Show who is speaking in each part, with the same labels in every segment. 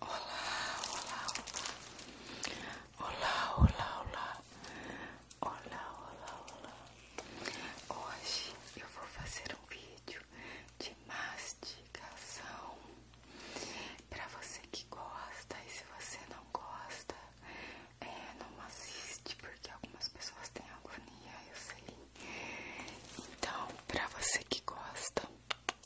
Speaker 1: Olá, olá, olá. Olá, olá, olá. Hoje eu vou fazer um vídeo de mastigação para você que gosta e se você não gosta, é, não assiste porque algumas pessoas têm agonia, eu sei. Então, para você que gosta,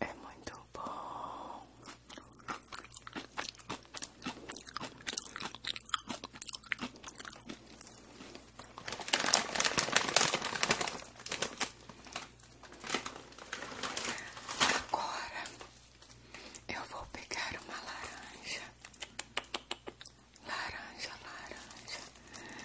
Speaker 1: É muito bom. Agora eu vou pegar uma laranja, laranja, laranja,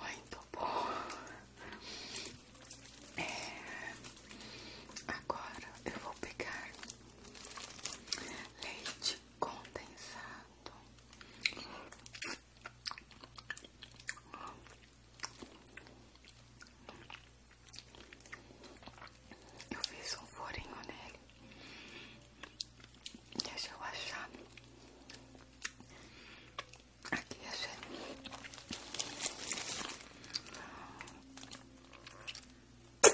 Speaker 1: Muito bom. É, agora eu vou pegar leite condensado. Eu fiz um furinho nele. Deixa eu achar. Aqui achei.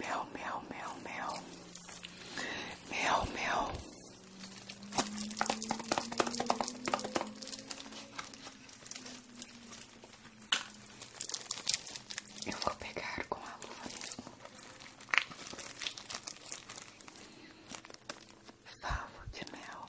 Speaker 1: Mel, mel, mel, mel. Mel, mel. Eu vou pegar com a luva mesmo. Favo de mel.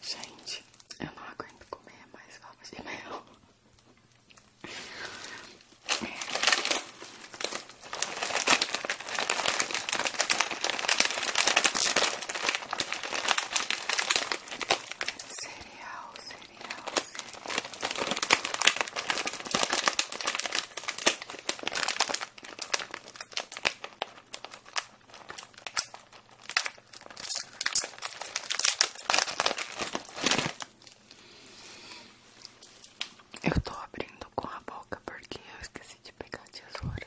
Speaker 1: Gente, eu não aguento comer mais favas de mel. É. Cereal, eu estou abrindo com a boca porque eu esqueci de pegar tesoura.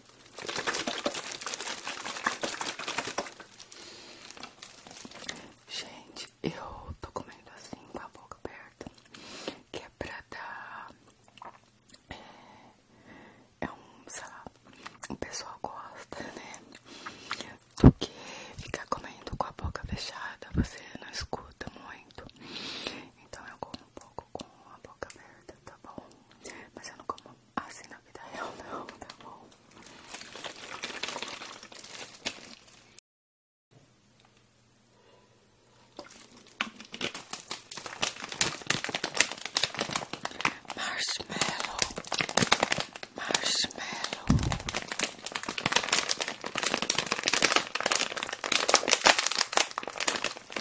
Speaker 1: Gente, eu tô comendo assim com a boca aberta, que é pra dar. É, é um, sabe lá, o pessoal gosta, né? Do que ficar comendo com a boca fechada, você não escuta muito. Então eu como um pouco com a boca aberta, tá bom? Mas eu não como assim na vida real, não, tá bom? Marshmallow, marshmallow.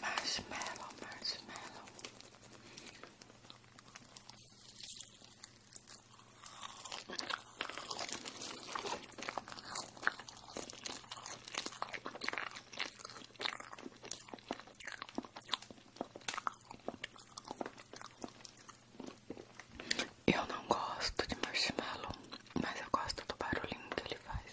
Speaker 1: Marshmallow, marshmallow. Eu não gosto de marshmallow, mas eu gosto do barulhinho que ele faz.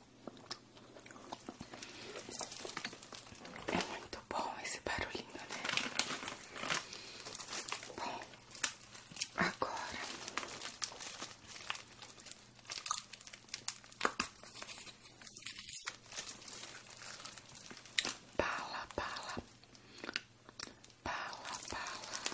Speaker 1: É muito bom esse barulhinho, né? Bom, agora Pala, pala, pala, pala.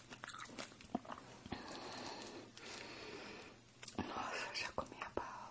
Speaker 1: Nossa, já comi a bala.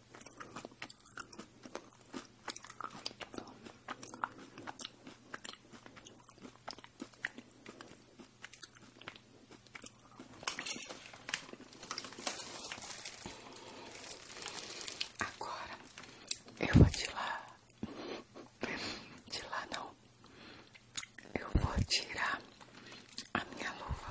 Speaker 1: Agora eu vou tirar, tirar não, eu vou tirar a minha luva.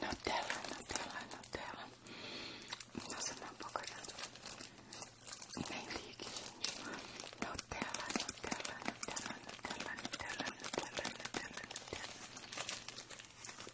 Speaker 1: Nutella, Nutella, Nutella. Nossa, não vou cuidado. Nem ligue, gente. Nutella, Nutella, Nutella, Nutella, Nutella, Nutella, Nutella, Nutella.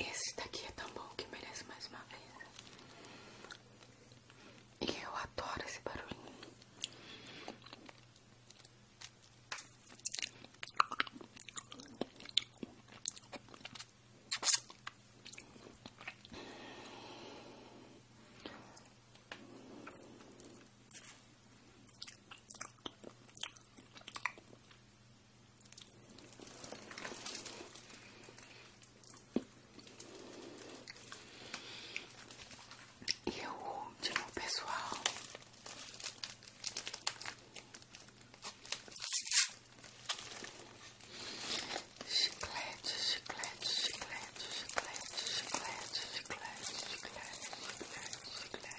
Speaker 1: Esse daqui é tão bom que merece mais uma vez. E eu adoro esse barulhinho. E o último, pessoal. Chiclete, chiclete, chiclete, chiclete, chiclete, chiclete, chiclete, chiclete, chiclete.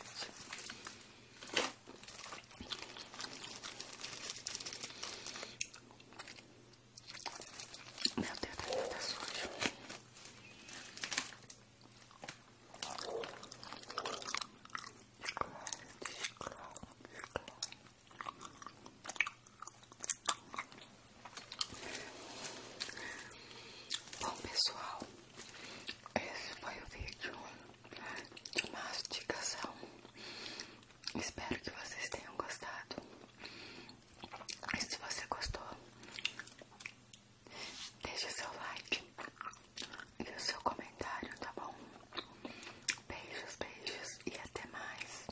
Speaker 1: Meu Deus, tá, tá sujo. Claro, claro, claro. Bom, pessoal, esse foi o vídeo de mastigação Espero que vocês tenham gostado. E se você gostou, deixe o seu like e o seu comentário, tá bom? Beijos, beijos e até mais.